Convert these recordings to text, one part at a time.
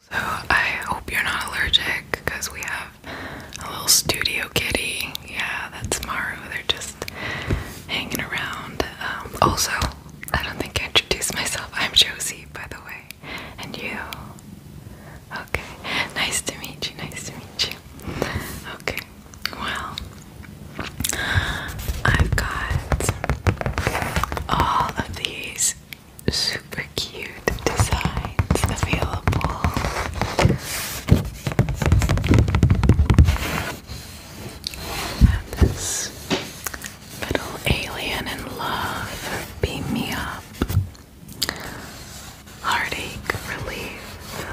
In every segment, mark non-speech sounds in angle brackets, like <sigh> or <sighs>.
So I hope you're not allergic because we have a little studio kitty. Yeah, that's Maru. They're just hanging around. Um, also, I don't think I introduced myself. I'm Josie, by the way. And you? Okay. Nice to meet you. Nice to meet you. Okay. Well, I've got all of these super cute designs available. this little alien in love, beam me up. Heartache relief.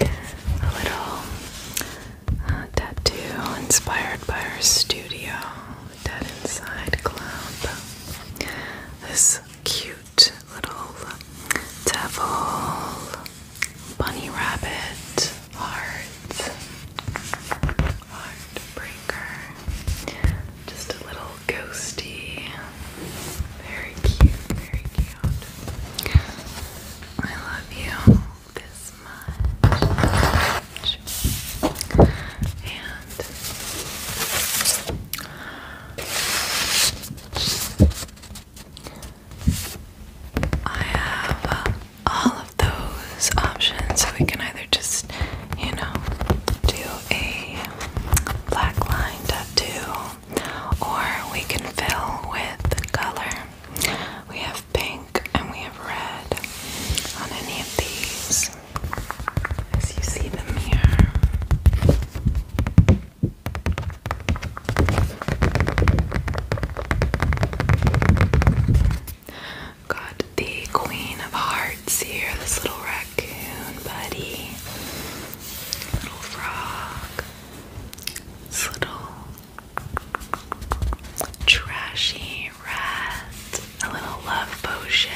A little uh, tattoo inspired by our studio. Dead Inside Club. This cute little devil, bunny rabbit, heart, heartbreaker. Just a little ghosty. Very cute, very cute. I love you this much. And I have uh, all of those options, so we can either just, you know, do a black line tattoo. Or we can fill with color. We have pink and we have red on any of these as you see them here. Got the Queen of Hearts here, this little raccoon buddy, little frog, this little trashy rat, a little love potion,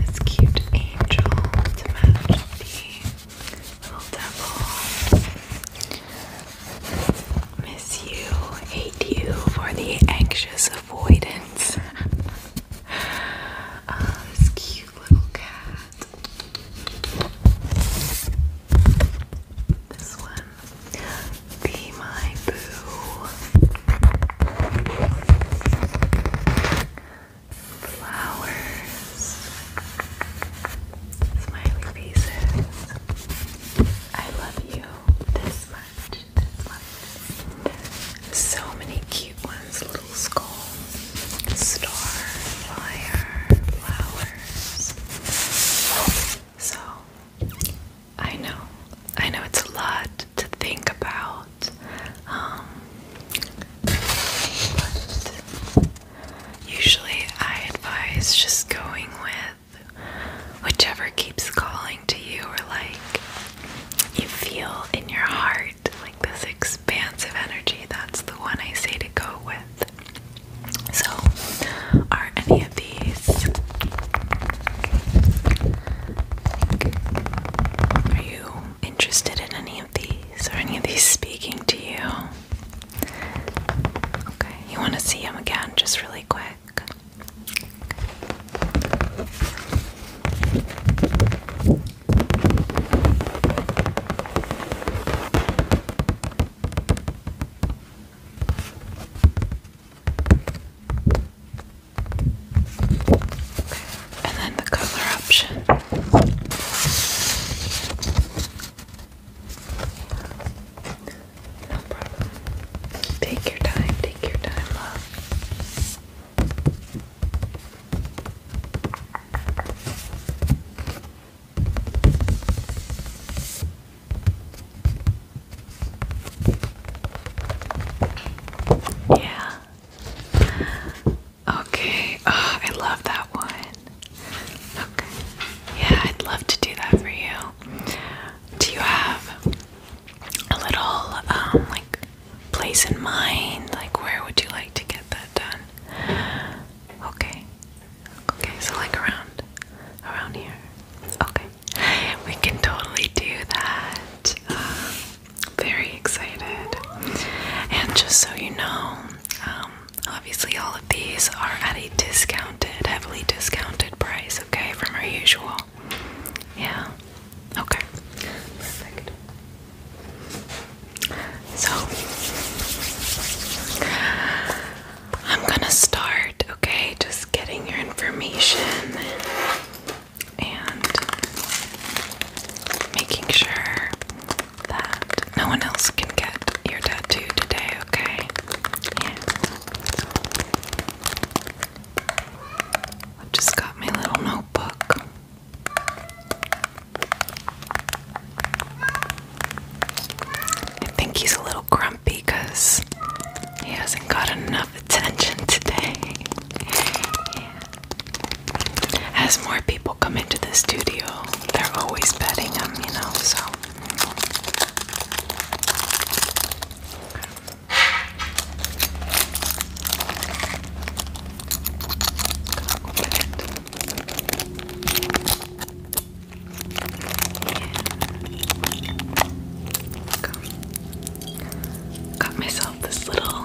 this cute angel to match the little devil. Miss you, hate you for the anxious avoidance. uh, <laughs> this cute little cat. This one be my boo. Flowers. Smiley faces. I love you this much. So many cute ones. Little skulls. Star. Fire. Flowers. So I know. I know it's a lot to think about. Um, usually I advise just going with whichever keeps calling to you or like you feel in your heart like this expansive energy. That's the one I say to go with. So, are any are you interested in any of these? or any of these speaking to you? Okay, you want to see him again just really quick? And then the color option. No problem. Take your time, take your time, love. Yeah. Okay. Oh, I love that one. Okay. Yeah, I'd love to do that for you. Do you have a little um like place in mind? Like where would you like to get that done? Okay. Okay, so like around around here. Okay we can totally do that. Um, very excited. And just so you know, um, obviously all of these are at a discounted, heavily discounted price, okay, from our usual. Yeah. Okay. Perfect. So, I'm gonna start okay? Just getting your information and making sure that no one else can get your tattoo today, okay? just got my little notebook. I think he's a little grumpy because he hasn't got enough attention today. As more people come into the studio, they're always petting him, you know, so. Go. Got myself this little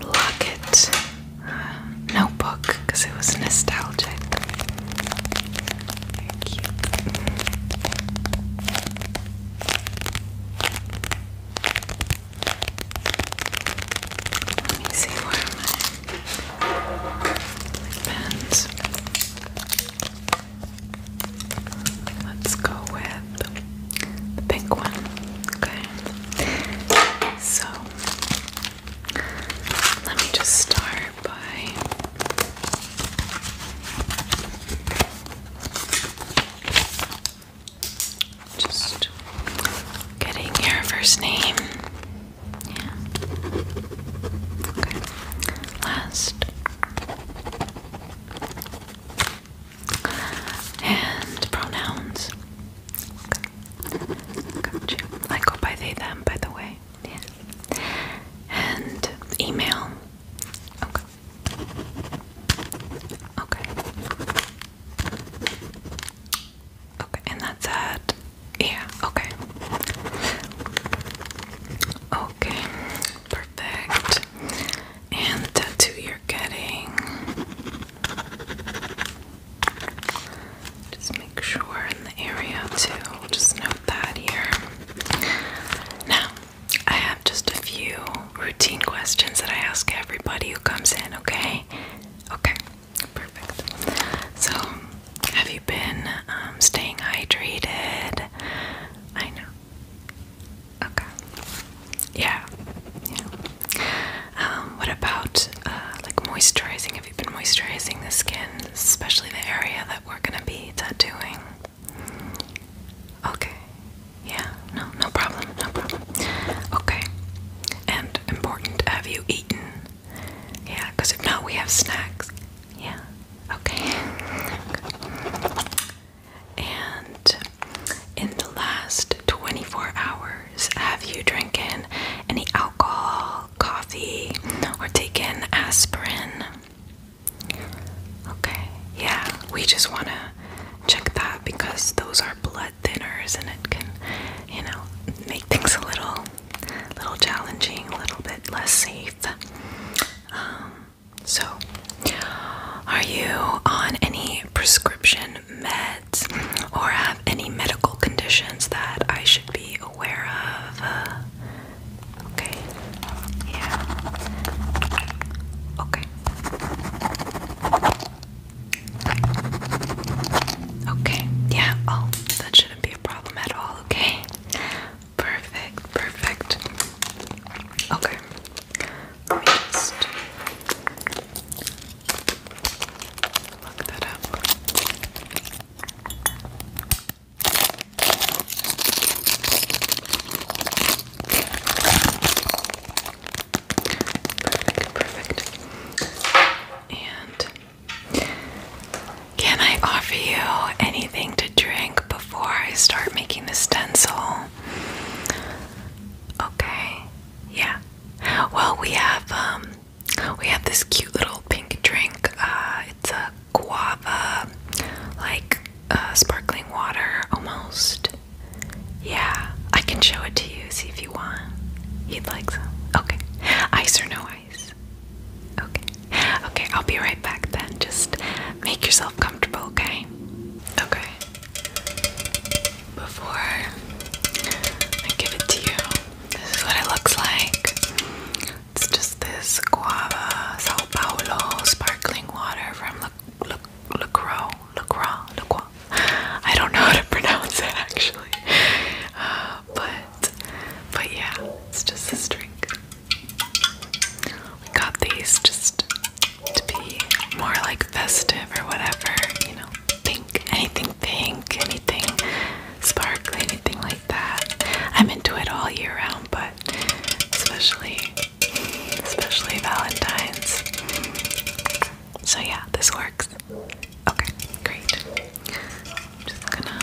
locket uh, notebook because it was nostalgic. Let me see where my pens. Let's go with the pink one. Okay. So let me just start by just getting your first name. Okay last. And pronouns. I go by they, them, by the way. Yeah. And email. Okay. Okay. Okay, and that's it. Yeah, okay. Okay, perfect. And the tattoo you're getting. Just make sure in the area too. We'll just note that here. Now, I have just a few routine questions that I ask everybody who comes in, okay? Okay, perfect. So, have you been um, staying hydrated? I know. Okay. Yeah. Yeah. Um, what about uh, like moisturizing? Have you been moisturizing the skin, especially the area that we're gonna be tattooing? Okay. Yeah. No. No problem. No problem. Okay. And important. Have you eaten? Yeah. Because if not, we have snacks. Yeah. Okay. and in the last 24 hours, have you drinking any alcohol, coffee, or taken aspirin? Okay. Yeah, we just want to check that because those are blood thinners and it can, you know, make things a little a little challenging, a little bit less safe. Um, so, are you on any prescription meds or have any medical conditions that I should be aware of? okay. Yeah. Okay. Okay. Yeah. Oh, that shouldn't be a problem at all. Okay. Perfect, perfect. Okay. Let Perfect, perfect. And can I offer you anything to drink before I start making the stencil? Okay. Yeah. Well, we have um we have this cute little pink drink. Uh, it's a guava like uh, sparkling water almost. Yeah. I can show it to you see if you want. he would like some. Okay. Ice or no ice? Okay. Okay, I'll be right back then. Just make yourself comfortable, okay? Okay. Before I give it to you, this is what it looks like. It's just this guava Sao Paulo sparkling water from La, La, La I don't know how to <laughs> pronounce it actually. Uh, but but yeah, it's just this drink. We got these just to be more like festive or whatever, you know, pink, anything pink, anything sparkly, anything like that. I'm into it all year round, but especially especially Valentine's. So yeah, this works. Okay, great. just gonna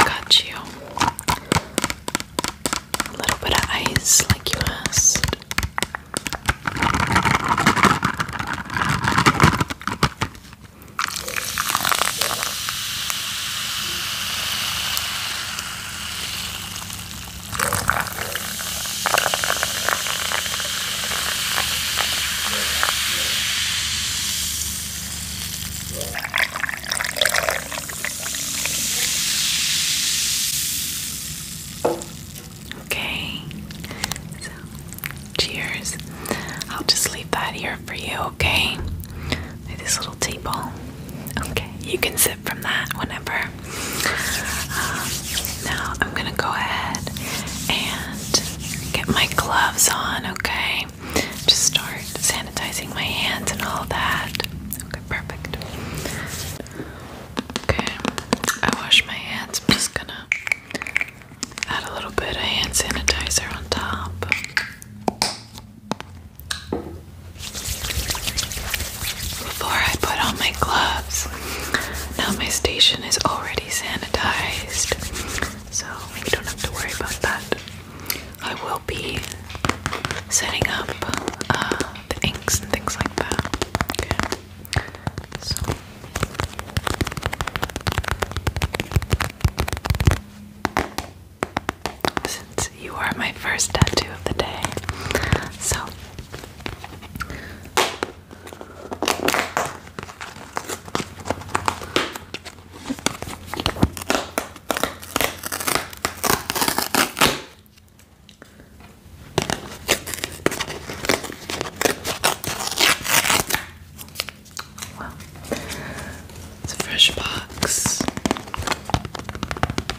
Got you. A little bit of ice, like you asked. Okay, so cheers. I'll just leave that here for you, okay? this little table. Okay, you can sip from that whenever. Um, now I'm gonna go ahead and get my gloves on, okay? Just start sanitizing my hands and all that. Okay, perfect. Okay, I wash my hands. I'm just gonna add a little bit of hand sanitizer on top before I put on my gloves. Now my station is already sanitized, so we don't have to worry about that. I will be setting up uh, the inks and things like that. So. Since you are my first tattoo of the day, so Wow. It's a fresh box.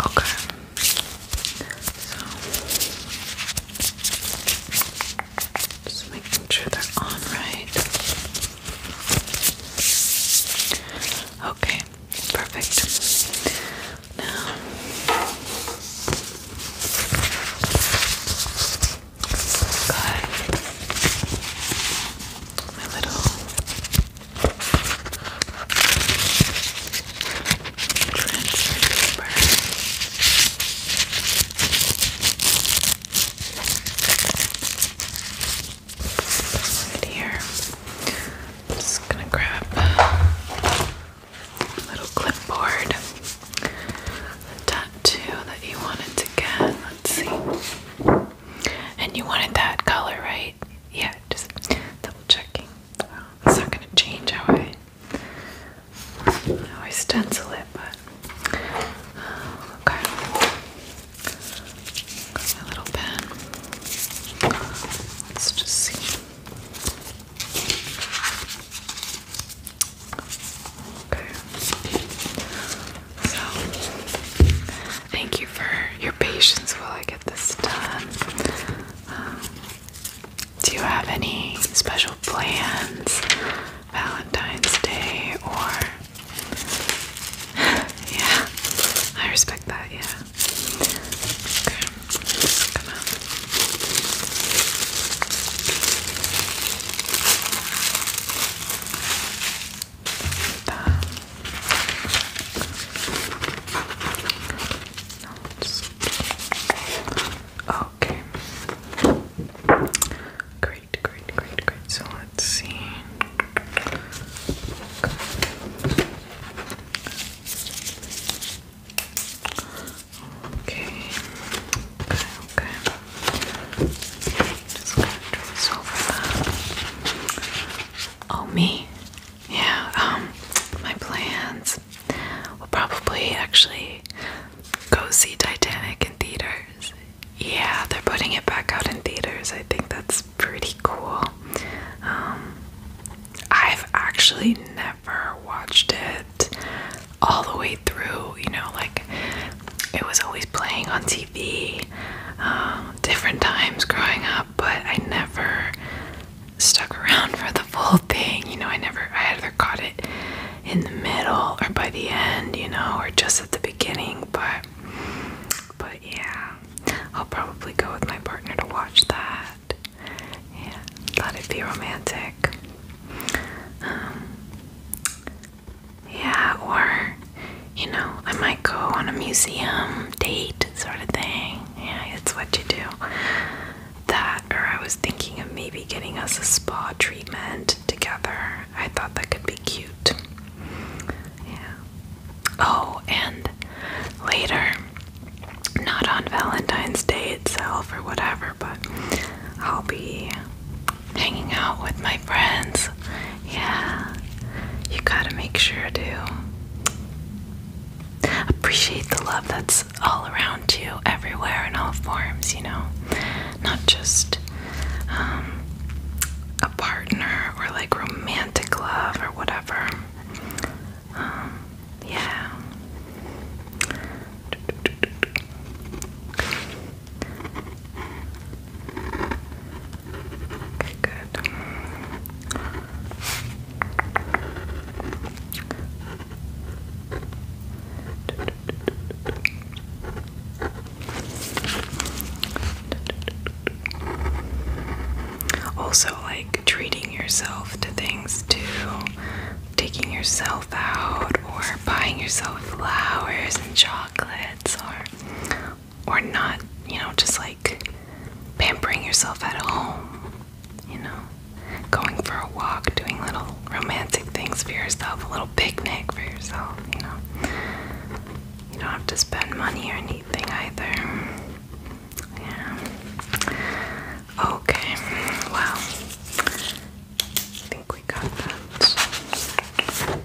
Okay. just making sure they're on right. Okay, perfect. Now Good my little transfer paper. Right here. just gonna grab little clipboard. The tattoo that you wanted to get. Let's see. And you wanted that color, right? Yeah, just double checking. Oh, it's not gonna change how I how I stencil it, but oh, okay. my little pen. Let's just see. Okay. So, thank you for your patience while I get this done. Um, do you have any special plans? Valentine's Day or. <laughs> yeah, I respect that, yeah. Okay, come out okay great great great great so let's see okay okay okay just gonna turn this over. Oh me, yeah. Um, my plans. will probably actually go see Titanic in theaters. Yeah, they're putting it back out in theaters. I think that's pretty cool. Um, I've actually never watched it all the way through. You know, like it was always playing on TV the um, different times growing up, but I never stuck around <laughs> for the full thing. You know, I never, I either caught it in the middle or by the end, you know, or just at the beginning, but, but yeah, I'll probably go with my partner to watch that. Yeah, thought it'd be romantic. Um, yeah, or, you know, I might go on a museum date sort of thing. Yeah, it's what you do. That, or I was thinking of maybe getting us a spa treatment together. I thought that could be cute. Yeah. Oh, and later, not on Valentine's Day itself or whatever, but I'll be hanging out with my friends. Yeah, you gotta make sure to appreciate the love that's all around you, everywhere, in all forms, you know, not just um, a partner or like romantic love or whatever. Um, yeah. Okay, good. Also, like treating yourself to things too, taking yourself out, or buying yourself flowers and chocolates, or or not, you know, just like pampering yourself at home, you know, going for a walk, doing little romantic things for yourself, a little picnic for yourself, you know. You don't have to spend money or anything either. Yeah. Okay, wow we got that down.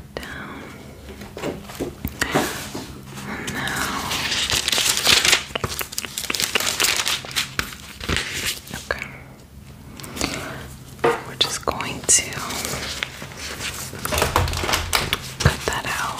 now, okay, we're just going to cut that out.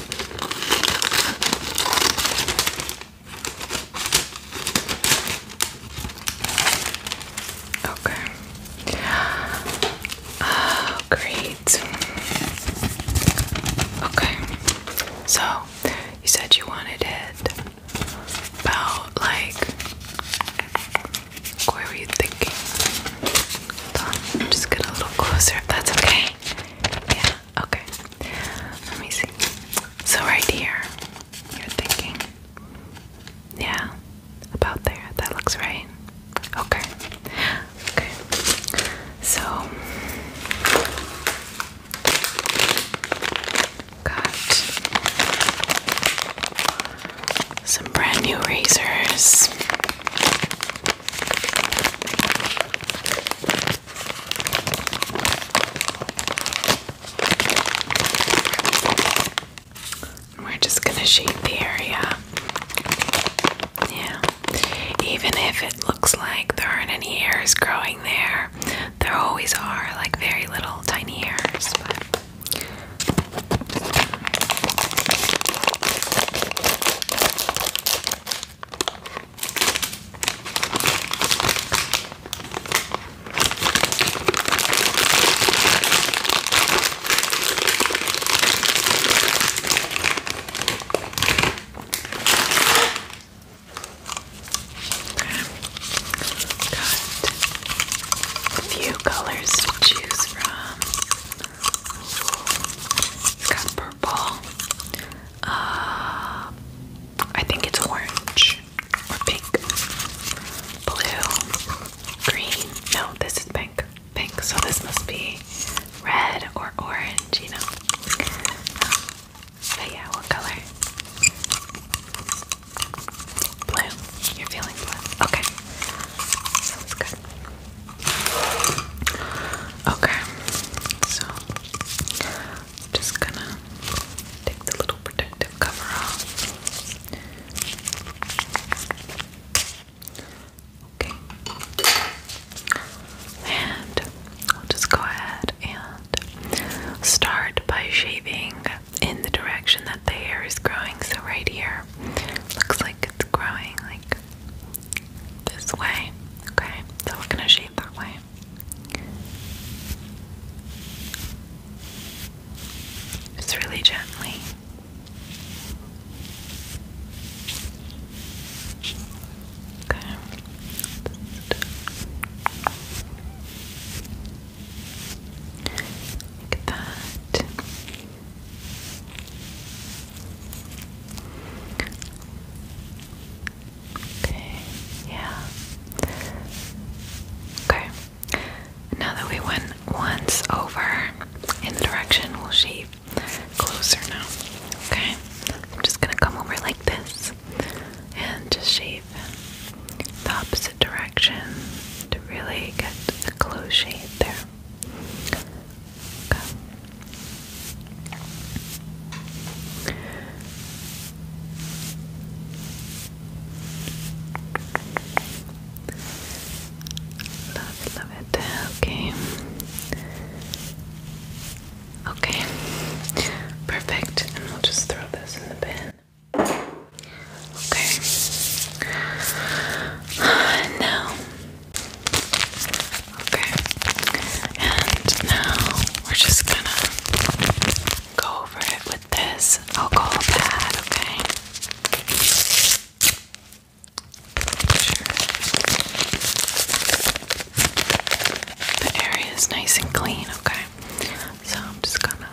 Okay. Oh, great. Okay. So, you said you wanted it about like where were you thinking? Hold on, just get a little closer if that's okay. Yeah, okay. Let me see. So, right here, you're thinking. Yeah, about there. That looks right. Okay. Okay. So, got some brand new razors. We're just going to shape the area. Yeah. Even if it looks like there aren't any hairs growing there, there always are, like very little tiny hairs. Got a few colors to choose from. It's got purple. Uh, I think it's orange or pink, blue, green. No, this is pink. Pink, so this must be red or orange, you know. But yeah, what color? Blue. You're feeling blue. Okay. Sounds good. Okay, so I'm just gonna take the little protective cover off. Okay, and we'll just go ahead and start by shaving in the direction that the hair is growing. So, right here, looks like it's growing like this way. Okay, so we're gonna shape that way. Just really gently. Okay. Just like that. Okay, yeah. Okay. Now that we went once over in the direction, we'll shave closer now. Okay. I'm just gonna come over like this and just shave the opposite direction to really get a close shave there. Love it, Okay. Okay. Perfect. And we'll just throw this in the bin. Okay. <sighs> Now Okay. And now we're just gonna go over it with this alcohol pad, okay? The area is nice and clean, okay? So I'm just gonna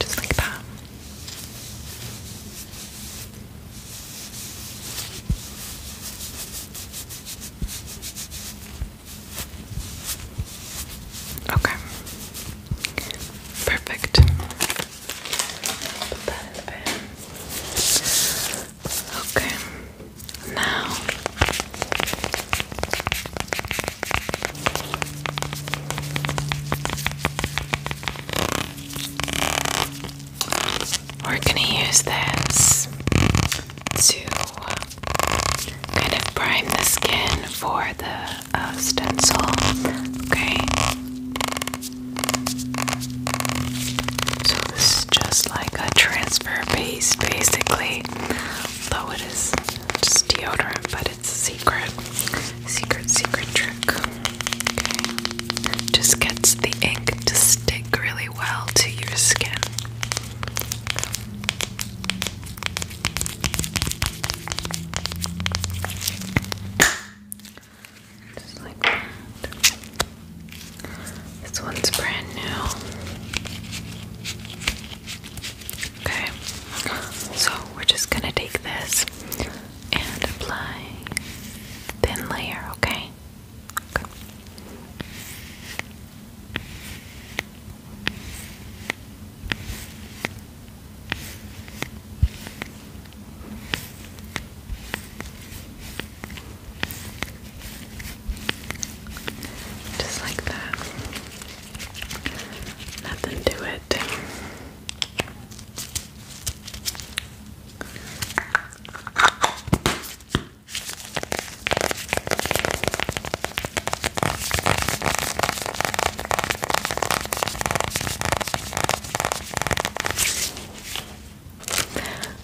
just like that. Okay. Perfect. Okay. Now we're gonna use this to kind of prime the skin for the uh, stencil, okay? So this is just like a transfer paste, basically, though it is deodorant, but it's a secret, secret, secret trick. Just gets the ink to stick really well to your skin. Just like This one's brand new. Okay, so we're just gonna take this and apply thin layer, okay? okay. Just like that. Nothing to it.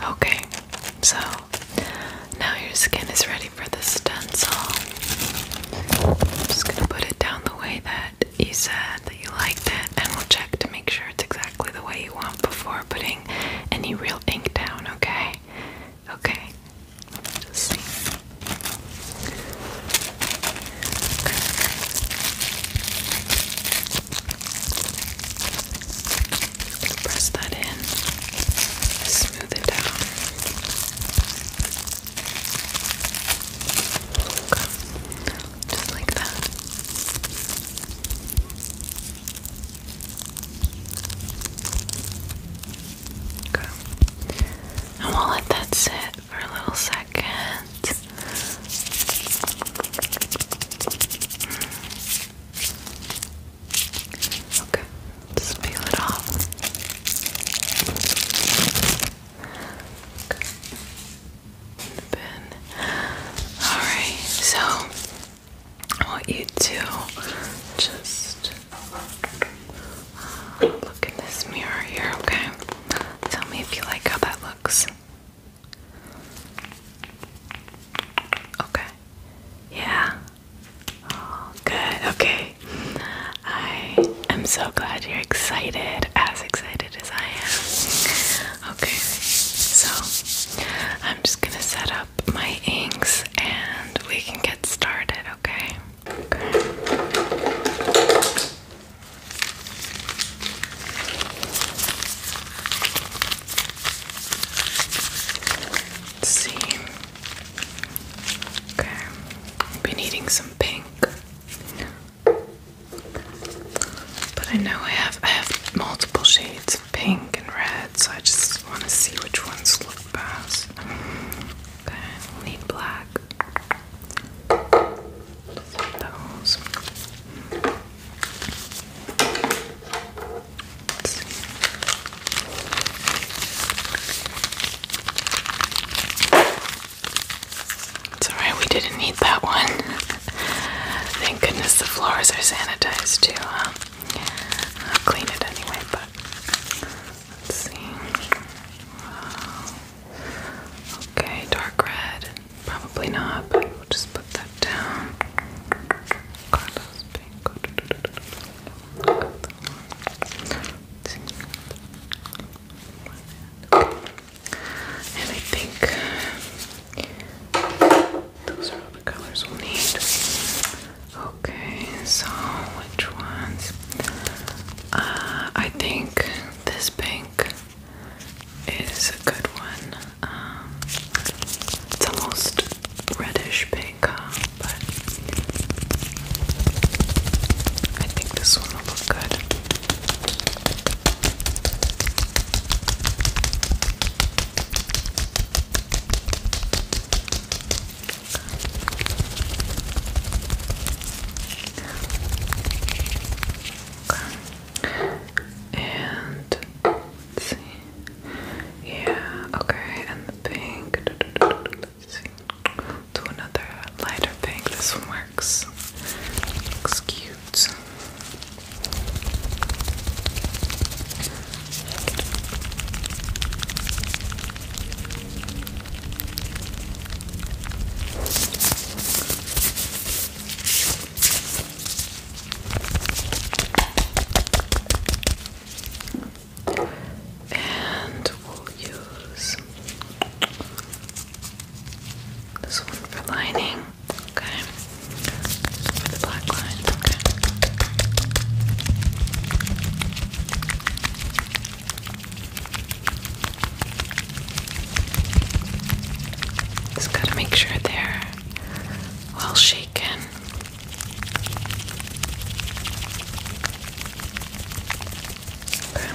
Okay, so now your skin is ready for the stencil. I'm just going to put it down the way that you said that you liked it, and we'll check to make sure it's exactly the way you want before putting any real ink down, okay? Okay. Just see. Press that in. Smooth it down. Okay. Just like that. Okay. And we'll let that sit for a little second. Okay, just peel it off. Alright, so I you to just uh, look in this mirror here, okay? Tell me if you like how that looks. Okay. Yeah. Oh, good. Okay. I am so glad you're excited, as excited I am. Okay, so I'm just gonna set up my inks and we can get started, okay? Okay. see. Okay. I've some pink. But I know I have I have multiple shades of pink and red, so I just want to see which ones look best. Okay, need black. Those. It's alright, we didn't need that one. Thank goodness the floors are sanitized too. I'll clean it anyway, but let's see. Okay, dark red. Probably not, we'll just put that down. Carlos pink. And I think those are all the colors we'll need. Okay, so which ones? Uh, I think this pink is a good one. Um, it's almost reddish pink, uh, but I think this one will look good. And let's see. Yeah, okay, and the pink. Let's see do another lighter pink. This one works. Looks cute. And we'll use this one for lining, okay. For the black lines, okay. Just gotta make sure they're well shaken. Okay.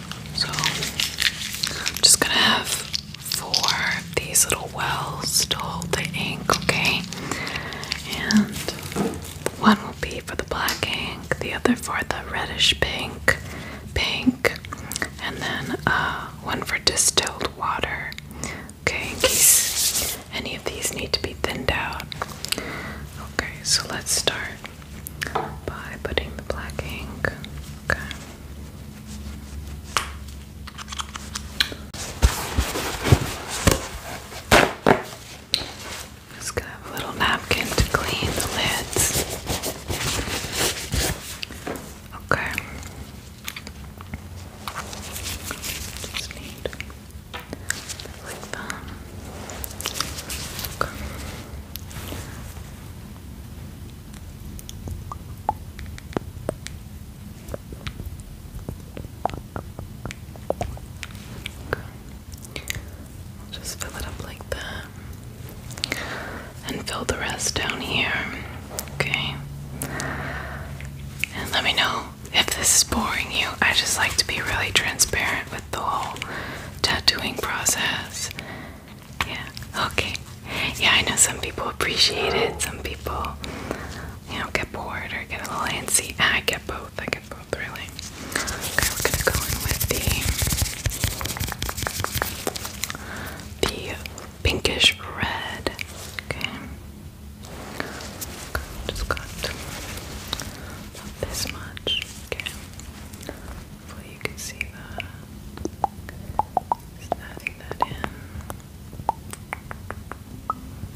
So I'm just gonna have four of these little wells to hold the ink, okay? And one will be for the black ink, the other for the reddish pink, pink, and then uh, one for distilled water. Okay, in case any of these need to be thinned out. Okay, so let's start by putting the black ink. Okay. Just gonna have a little napkin to clean the lids. Okay. Just need like that. Okay just fill it up like that. And fill the rest down here. Okay. And let me know if this is boring you. I just like to be really transparent with the whole tattooing process yeah, okay. Yeah, I know some people appreciate it, some people, you know, get bored or get a little antsy. I get both, I get both, really. Okay, we're gonna go in with the, the pinkish red. Okay. Just got this much. Okay. Hopefully you can see that. Just adding that in.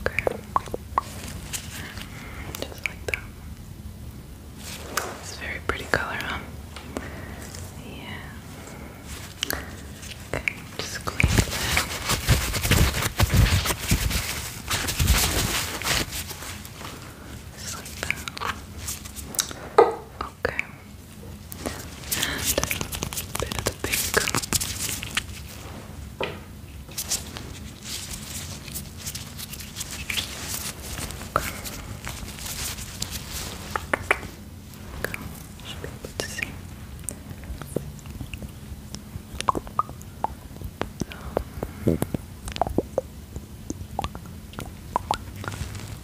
Okay. Just like that. It's very pretty color, huh? Yeah. Okay, just clean that. Just like that. Okay. And a bit of pink. Okay. Okay. Should be able to see.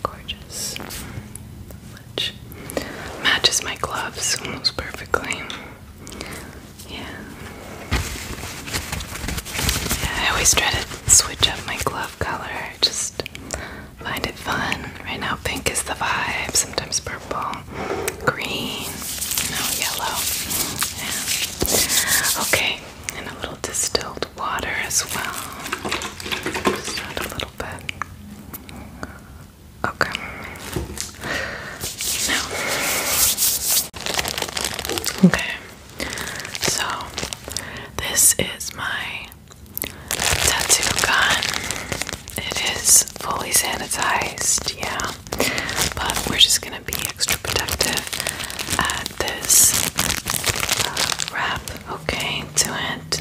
Gorgeous. matches my gloves almost perfectly. Yeah. Yeah, I always try to switch up my glove color. Just find it fun. Right now pink is the vibe, sometimes purple, green, you yellow. Okay, and a little distilled water as well. Just add a little bit. Okay. Now. Okay. So, this is my tattoo gun. It is fully sanitized, yeah. But we're just gonna be extra protective this uh, wrap, okay, to it.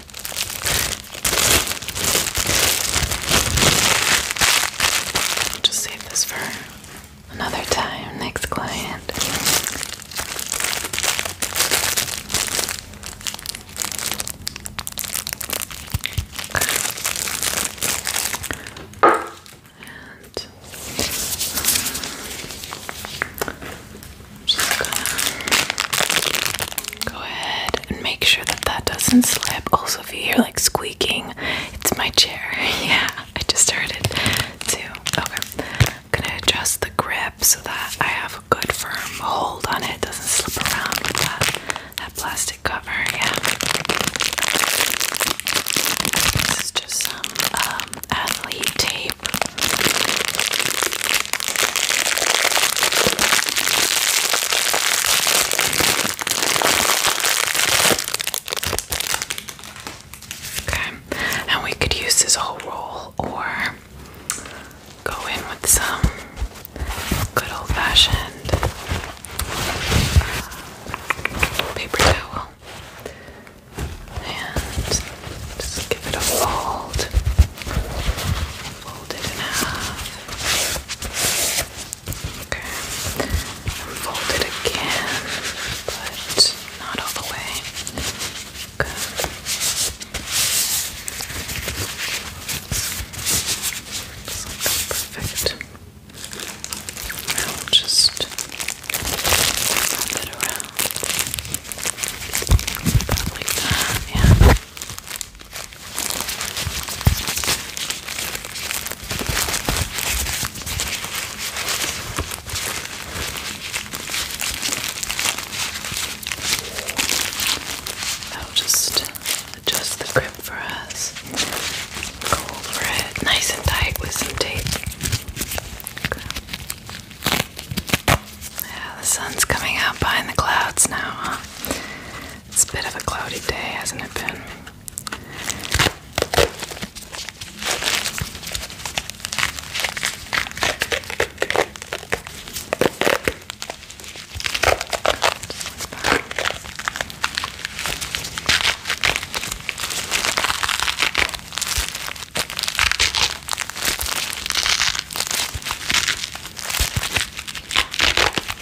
I'll just save this for another time, next client. And just gonna Go ahead and make sure that that doesn't slip. Also, if you hear like squeaking, it's my chair. <laughs> yeah, I just heard it too. Okay, I'm gonna adjust the grip so that I have a good firm hold on it. doesn't slip around with that that plastic cover. Yeah. This is just some um, athlete tape. Okay, and we could use this whole roll or go in with some good old fashioned paper towel and just give it a fold fold it in half. Okay. fold it again, but not all the way. Good. perfect. Now will just wrap it around. like that, yeah. I'll just adjust the grip for us. Go over it nice and tight with some tape. Yeah, the sun's coming out behind the clouds now, huh? It's a bit of a cloudy day, hasn't it been? It's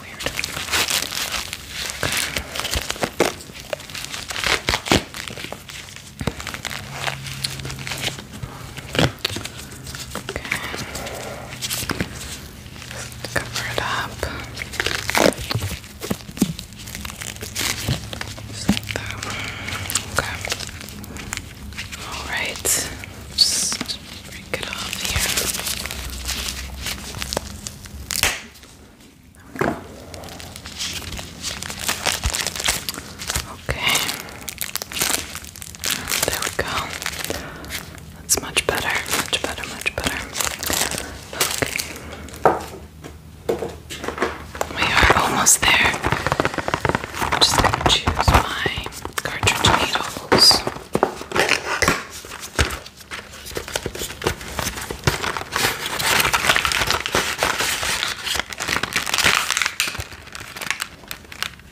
weird. Okay. Okay. cover it up. Just like that. Okay. Alright. Just break it off here. Okay. There we go. That's much better, much better, much better. Okay. We are almost there. just choose my cartridge needles.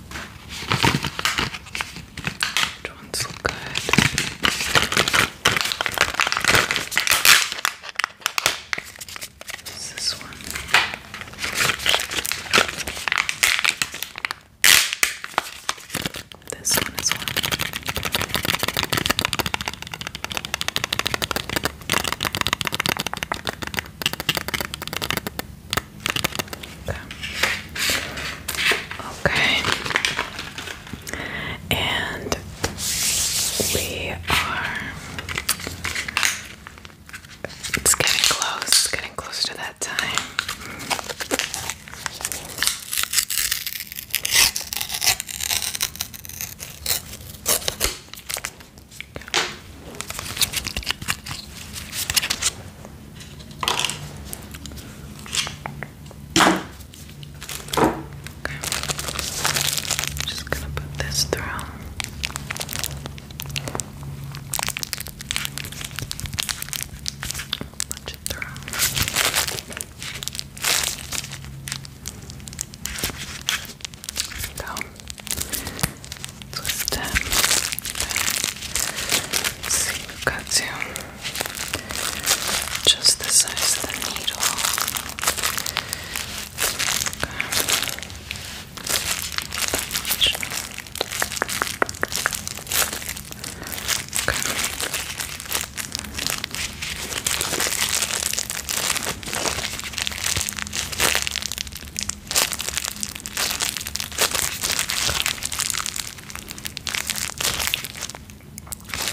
Which ones so good? What's this one? This one as well. Okay. And we are. It's getting close. It's getting close to that time. Okay. Just gonna put this through. Punch it through. go. Let's Okay. See, we've got to just the size of the needle. Okay.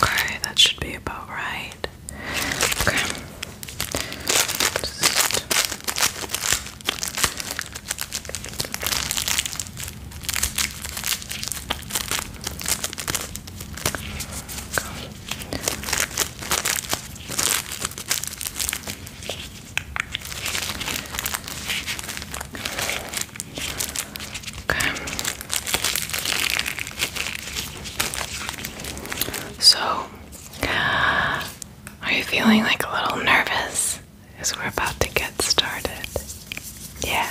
Okay, that should be about right. Okay. Okay. So, are you feeling like a little nervous? as we're about to get started. Yeah.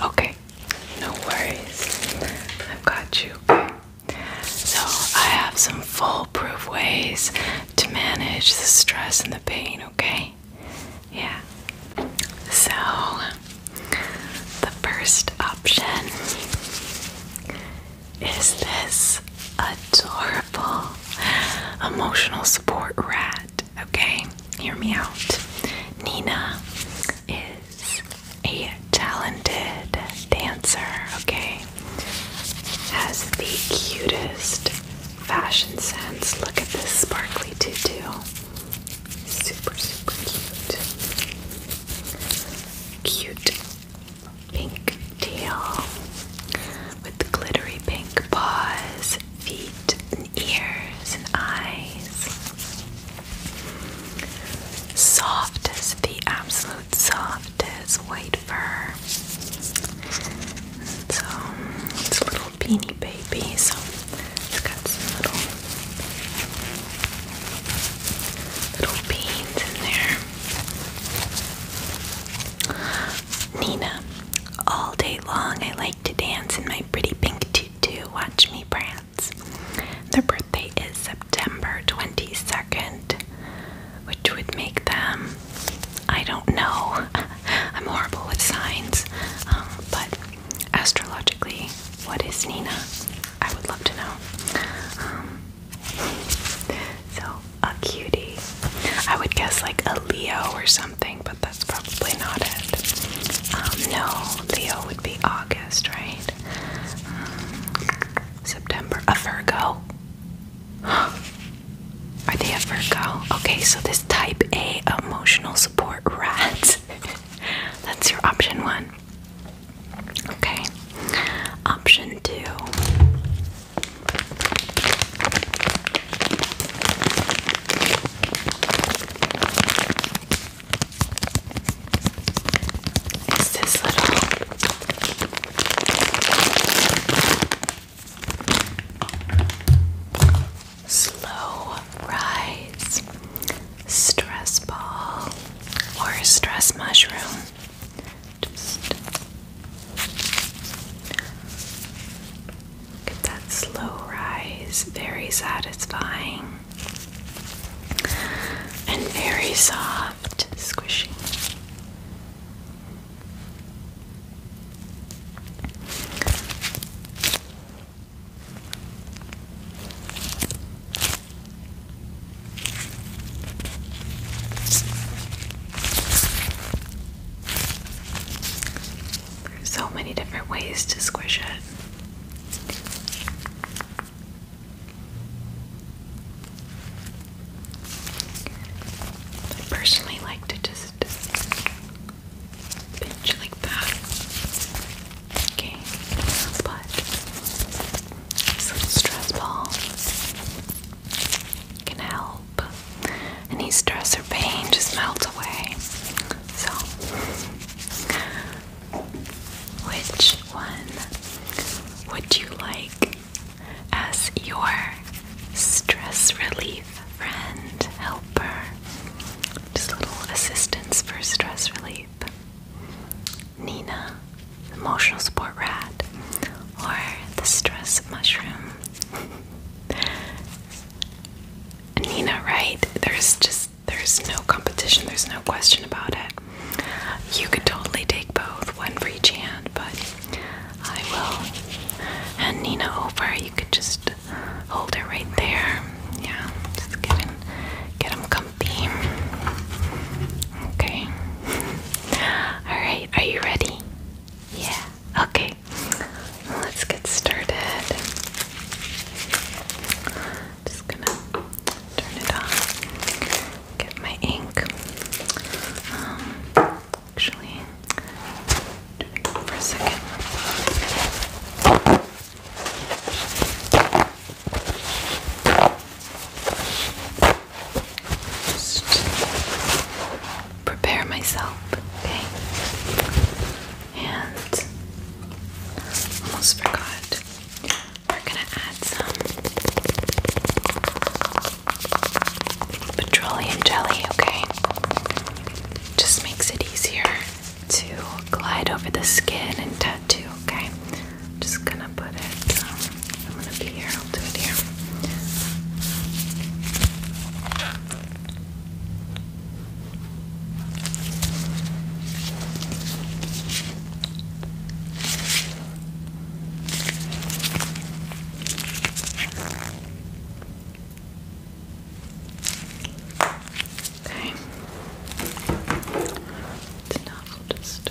Okay. No worries. I've got you. So, I have some foolproof ways to manage the stress and the pain, okay? Yeah. So, the first option is this adorable emotional support rat, okay? Hear me out. Nina is a talented dancer, okay? Has the cutest fashion sense. Look at this sparkly tutu. Super, super cute. Cute pink tail with glittery pink paws, feet, and ears, and eyes. Soft as the absolute softest white so it's a little beanie baby, so it's got some little little beans in there. Nina, all day long I like to dance in my pretty pink tutu. Watch me prance. Their birthday is September 22nd which would make them, I don't know, <laughs> I'm horrible with signs, um, but astrologically, what is Nina? I would love to know. Um, <laughs> so, a cutie. I would guess like a Leo or something, but that's probably not it. Um, no, Leo would be August, right? September. A Virgo. <gasps> Are they a Virgo? Okay, so this type A emotional support rat. <laughs> That's your option one. Okay. Option two. Is this little Slow rise, stress ball, or stress mushroom. Just get that slow rise, very satisfying and very soft, squishing. There's so many different ways to squish it. I personally like to just just pinch like that. Okay, but this little stress ball can help any stress or pain just melt away. So, which one would you like as your stress relief friend, helper. Just a little assistance for stress relief. Nina, emotional support rat, or the stress mushroom. <laughs> Nina, right? There's just there's no competition, there's no question about it. You could totally take both, one for each hand, but I will hand Nina over. You could just hold her right there. Yeah, just get him, get them comfy. Okay. <laughs> All right. Are you ready? Yeah. Okay. Let's get started. Just gonna turn it on. Get my ink. Um, actually for a second. Just prepare myself, okay? And almost forgot. We're gonna add some petroleum jelly, okay? Just makes it easier to glide over the skin and tattoo, okay? just gonna put it, um, I'm gonna be here, I'll do it here. Okay. It's enough. I'll just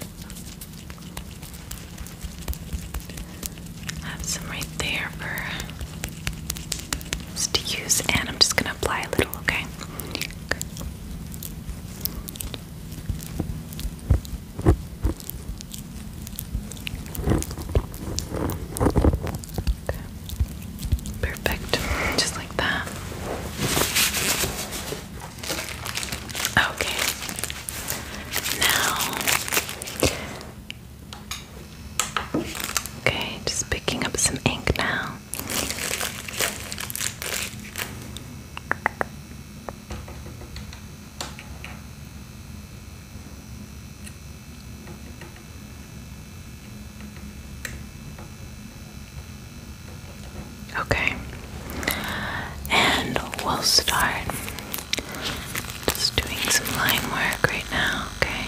have some right there for to use, and I'm just gonna apply a little. okay. Perfect. Just like that. Okay. Now. Okay, just picking up some ink now. Okay, and we'll start just doing some line work right now, okay?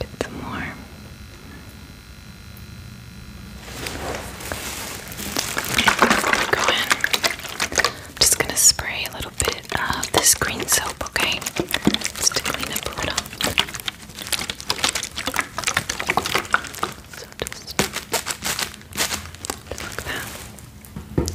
Get them warm. just gonna spray a little bit of this green soap, okay? Just to clean up a little. So just, just that. Okay.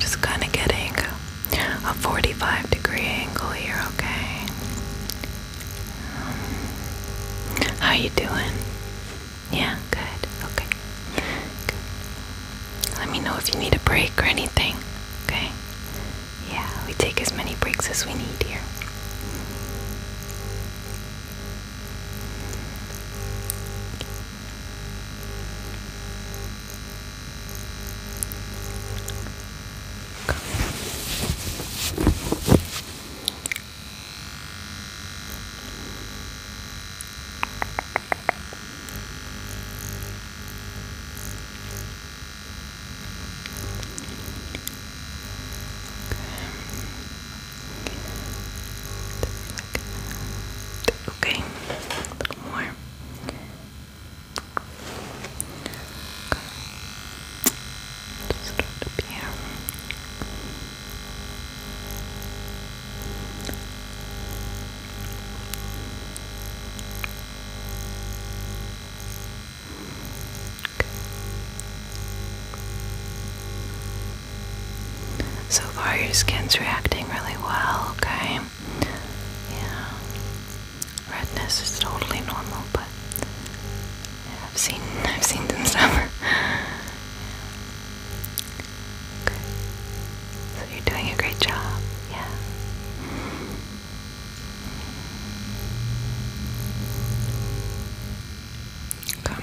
Just kind of getting a 45 degree angle here, okay? Um, how you doing? Yeah, good. Okay. Let me know if you need a break or anything, okay? Yeah, we take as many breaks as we need here. Okay, a little more. Just start up here. So far, your skin's reacting really well, okay? Yeah redness is totally normal, but I've seen <laughs> I've seen them <laughs> suffer. Okay. So you're doing a great job. Yeah. Come.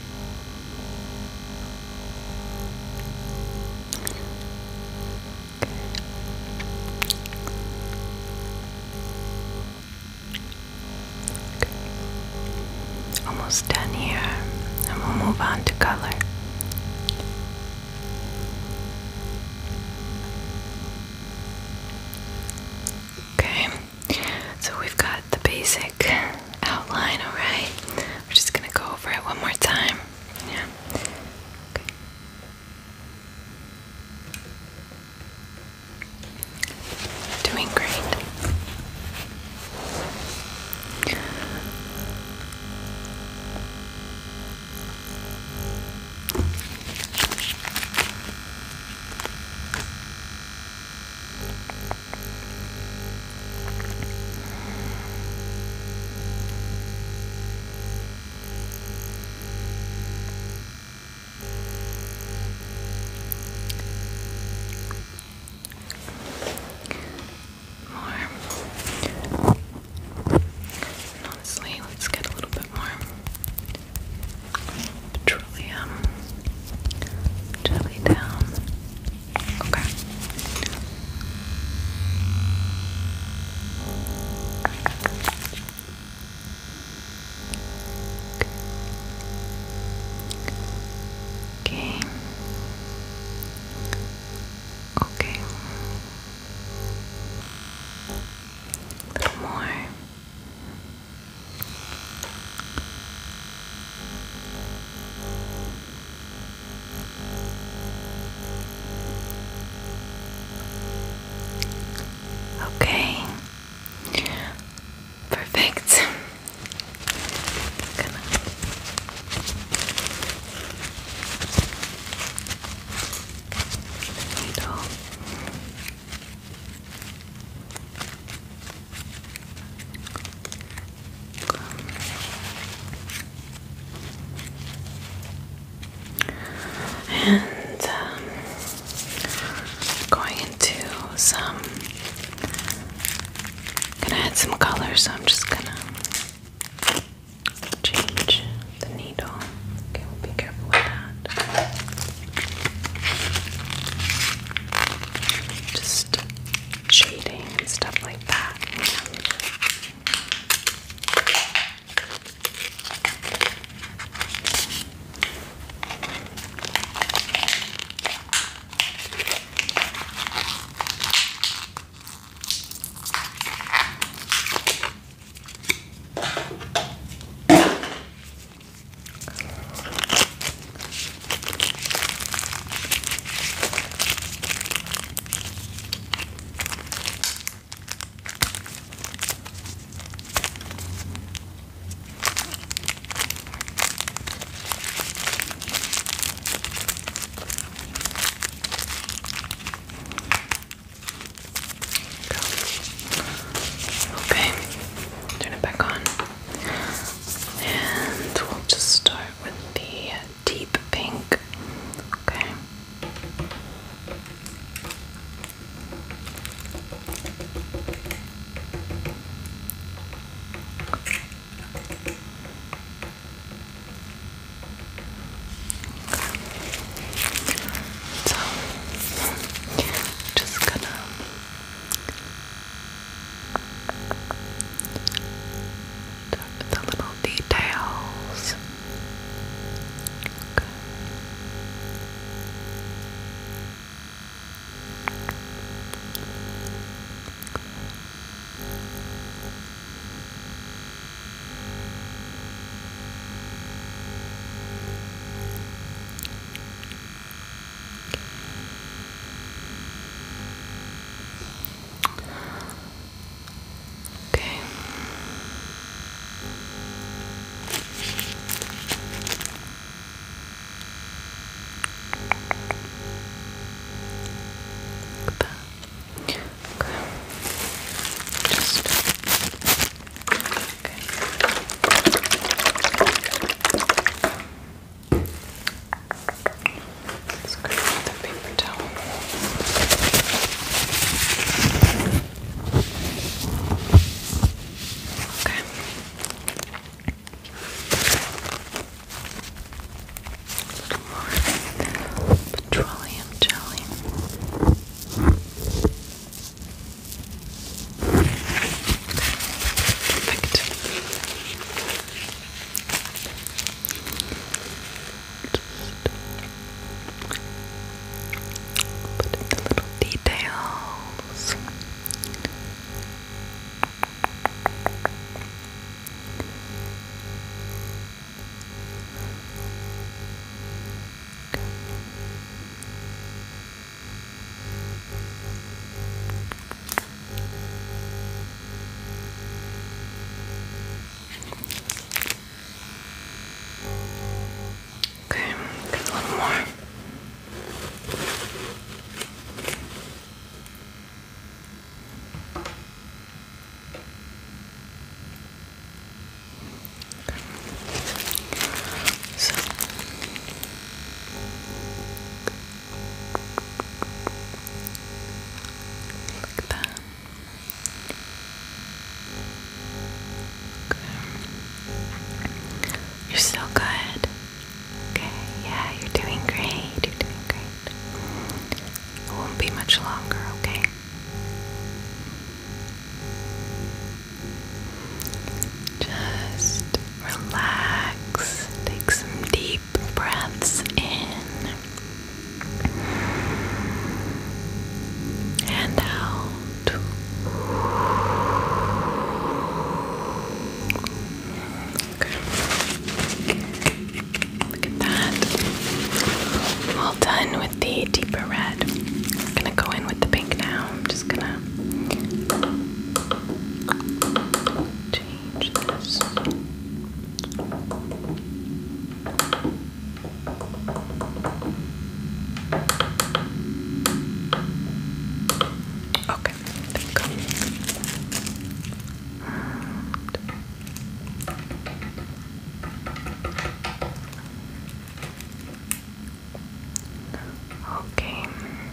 Almost done here, and we'll move on to color. Okay, so we've got the basic outline, alright? We're just gonna go over it one more time. Yeah. Okay. Doing great. More. And honestly, let's get a little bit more petroleum jelly down. Okay. Okay. Okay. A little more. Okay. Okay, perfect. Gonna... And um, going into some, gonna add some color, so I'm just gonna change the needle. Okay, we'll be careful with that. Just shading and stuff like that. Okay, turn it back on, and we'll just start with the deep pink. Okay. So, just gonna the, the little details. Okay. Okay. Okay. Look at that. Okay. Just okay. Let's grab paper towel. Okay. petroleum jelly. Perfect. Put in the little details. Okay, get a little more. So, like that. You're so good. Okay, yeah, you're doing great. You're doing great. It won't be much longer, okay? Just relax. Take some deep breaths in and out. Okay. Look at that. All done with the deeper red. I'm gonna go in with the pink now. I'm just gonna change this. Okay, think. Um, okay,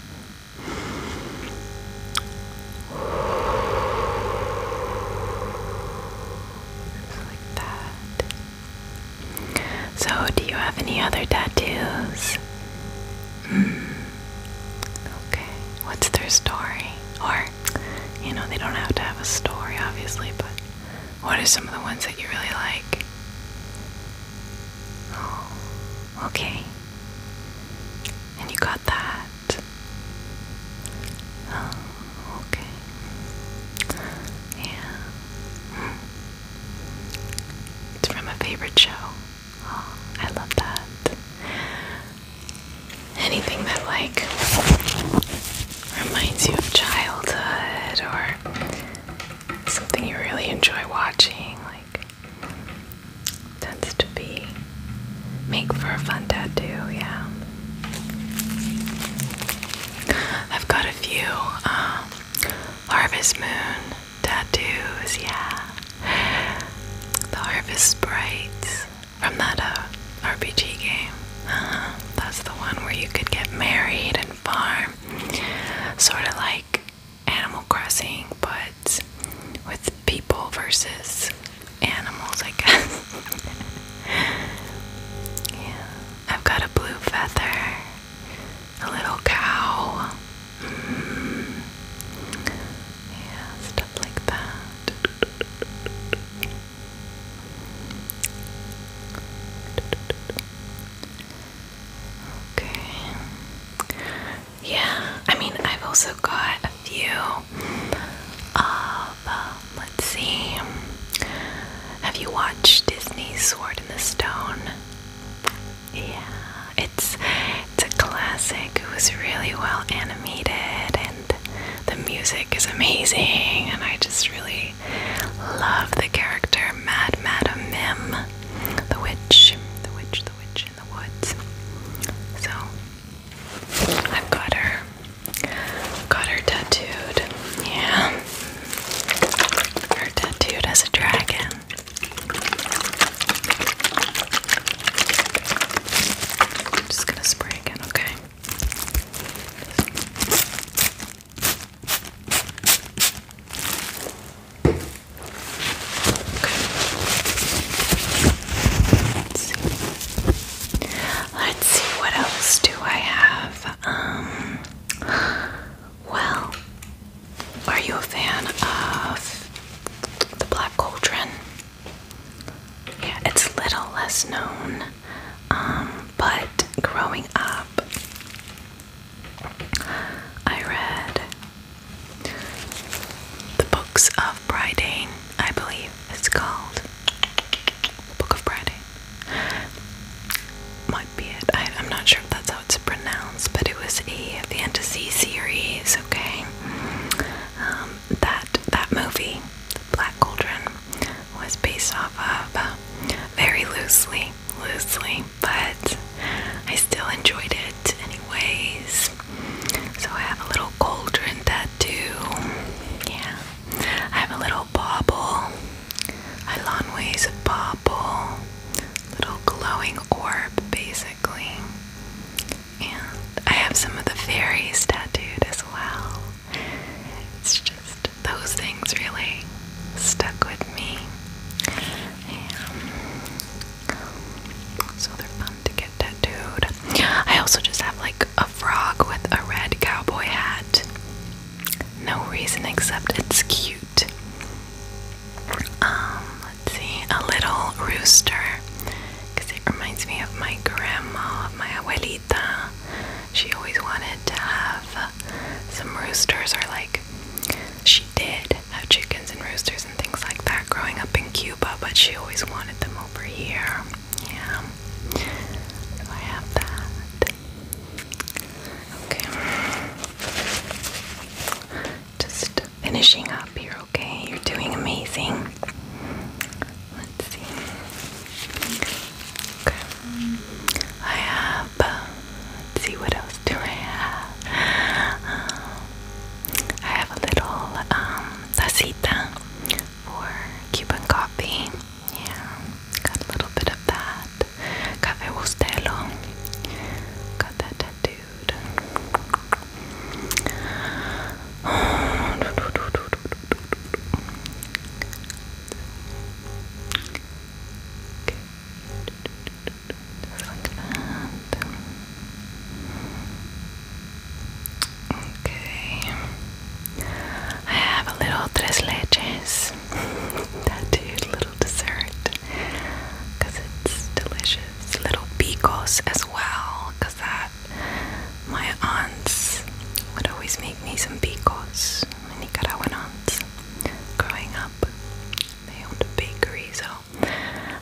Just like that. So, do you have any other tattoos? Mm. Okay. What's their story? Or, you know, they don't have to have a story, obviously, but what are some of the ones that you really like? Oh, okay. And you got that? Oh, okay. Yeah. It's from a favorite show. Oh, I love that. Anything that, like, reminds you of childhood or something you really enjoy watching, tends to be make for a fun tattoo, yeah. I've got a few um, Harvest Moon tattoos, yeah. The Harvest Sprites from that uh, RPG game. Uh-huh. that's the one where you could get married and farm. Sort of like Animal Crossing, but with people versus animals, I guess. <laughs> yeah, I've got a blue feather, a little cow, mm-hmm. yeah, stuff like that. Okay. Yeah, I mean, I've also got a few of, um, let's see, have you watched Disney's Sword in the Stone? Yeah, it's, it's a classic. It was really well animated, and the music is amazing, and I just really love the character Mad Madam Mim the witch, the witch, the witch in the woods. So I've got her, got her tattooed. Yeah, her tattooed as a dragon. just gonna spray again, okay? Let's see. Let's see what else do I have. Um well, are you a fan of the Black Cauldron? Yeah, it's little less known. Um, but growing up, I read the books of Brydain, I believe it's called. Book of Brydain. Might be it. I, am not sure if that's how it's pronounced, but it was a fantasy series, okay? Um, that, that movie, Black Cauldron, was based off of, uh, very loosely, loosely, but I still enjoyed it anyways. So I have a little cauldron tattoo. Yeah. I have a little bauble. Ilanwe's bauble. Little glowing orb basically. And I have some of the fairies tattooed as well. It's just those things really stuck with me so they're fun to get tattooed. I also just have like a frog with a red cowboy hat. No reason except it's cute. Um, let's see, a little rooster. Because it reminds me of my grandma, my abuelita. She always wanted to have some roosters, or like she did have chickens and roosters and things like that growing up in Cuba, but she always wanted them over here. Yeah. So I have that. Okay. Just finishing up here, okay? You're doing amazing. Let's see. I have up. see what else do I have. Um, I have a little um, for Cuban coffee. Yeah, got a little bit of that. Cafe Bustelo. Got that tattooed. <sighs> Just Okay. I have a little tres leches. <laughs> that is little dessert. Because it's delicious. Little picos as well. Because that, my aunts would always make me some picos. My Nicaraguan aunts growing up they owned a bakery, so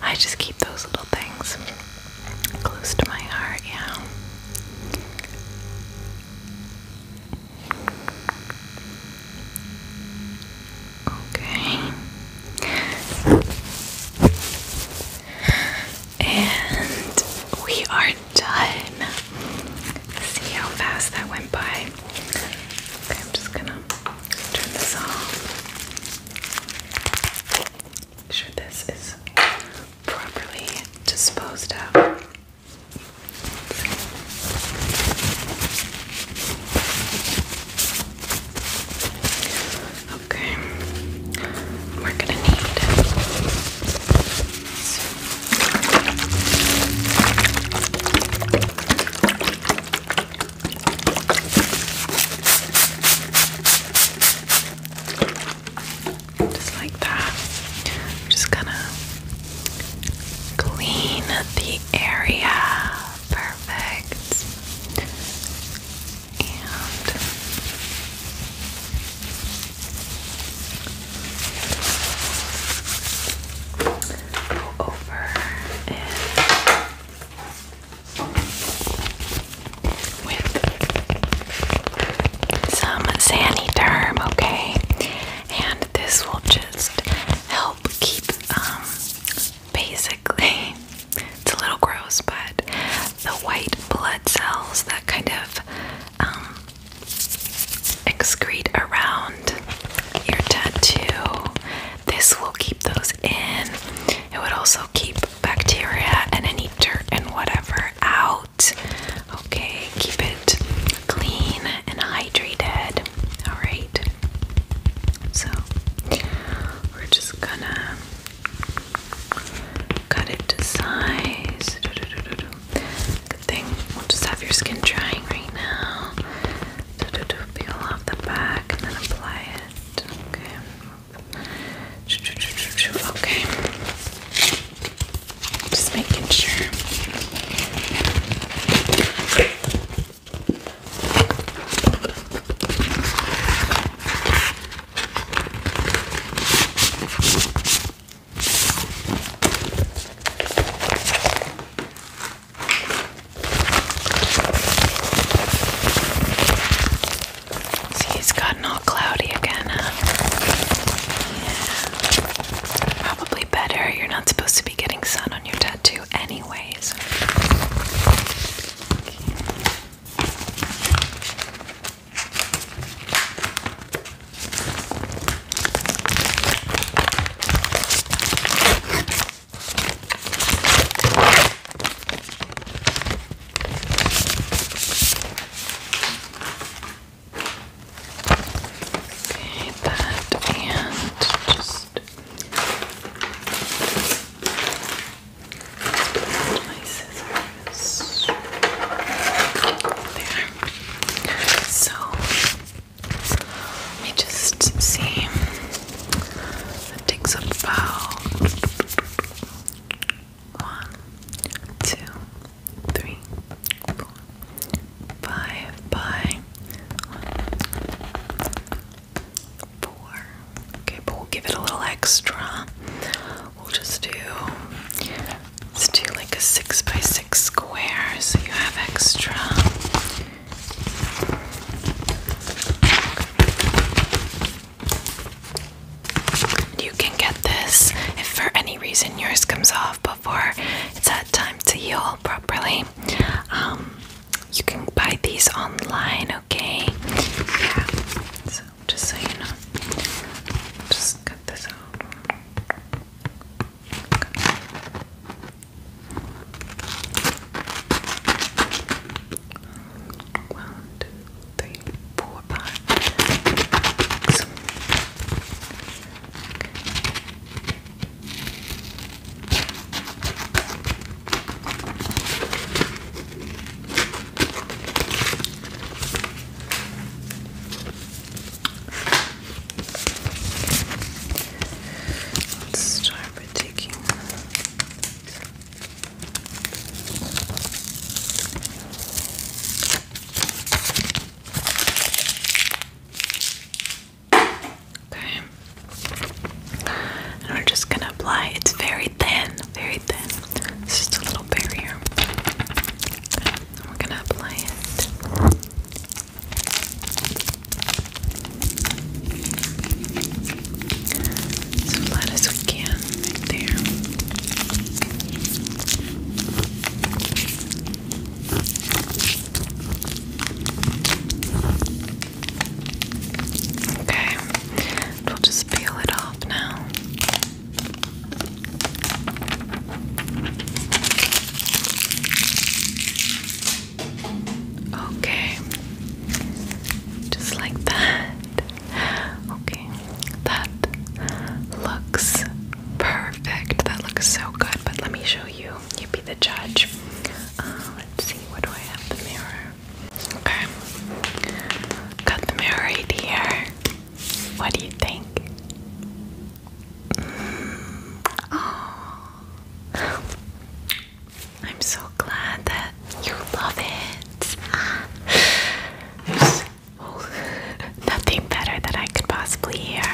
I just keep those little things close to my heart, yeah. Okay. And we are done. See how fast that went by. Okay, I'm just gonna Turn this off. Make sure this is properly disposed of. Okay, we're gonna need just like that. I'm just gonna clean the area. Perfect. And go over and with some Saniderm, okay? And this will just help keep, um, basically, <laughs> it's a little gross, but the white blood cells that kind of um, excrete around your tattoo this will keep those in. It would also keep bacteria and any dirt and whatever out. Okay, keep it clean and hydrated. All right. So, we're just gonna cut it to size. Good thing we'll just have your skin drying right now do, do, peel off the back and then apply it. Okay. Okay. Just making sure. See, it's gotten all cloudy again, huh? Yeah. Probably better. You're not supposed to be getting sun on your tattoo, anyways. Okay, that and just my scissors. There. So let me just see. It takes about one, two, three, four, five by four. Okay, but we'll give it a little extra. We'll just do let's do like a six by six square so you have extra you can get this if for any reason yours comes off before it's had time to heal properly. Um, you can buy these online, okay? So just so you know, just cut this out. One, two, three, four, five, six. Okay. Let's start by taking Okay. And we're just gonna apply it's very thin, very thin. It's just a little barrier. we're gonna apply it as flat as we can, right there. Okay, we'll just peel it off now. Okay. Just like that. Okay. That looks perfect. That looks so good. But let me show you. You be the judge. Uh, let's see. What do I have? The mirror. Okay. Got the mirror right here. What do you think? Mm. Oh, I'm so glad that you love it. <laughs> nothing better that I could possibly hear.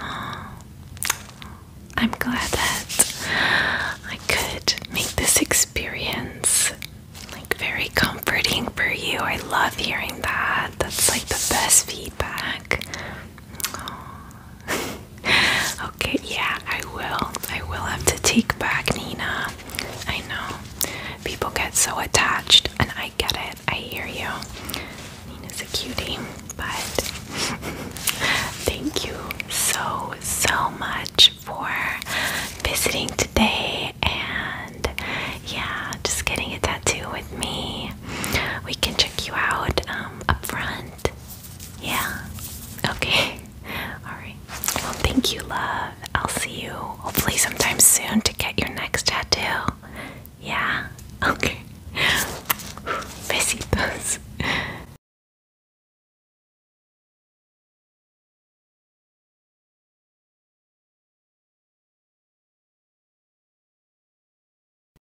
Um, I'm glad that I could make this experience like very comforting for you. I love hearing that. That's like the best feedback. <laughs> okay, yeah, I will. I will have to take back Nina. I know. People get so attached, and I get it. I hear you. Nina's a cutie, but <laughs> thank you so, so much for visiting today and yeah, just getting a tattoo with me. We can check you out um, up front yeah. Okay. <laughs> Alright. Well, thank you, love. I'll see you hopefully sometime soon to get your next tattoo. Yeah. <laughs> Okay. <sighs> Besitos.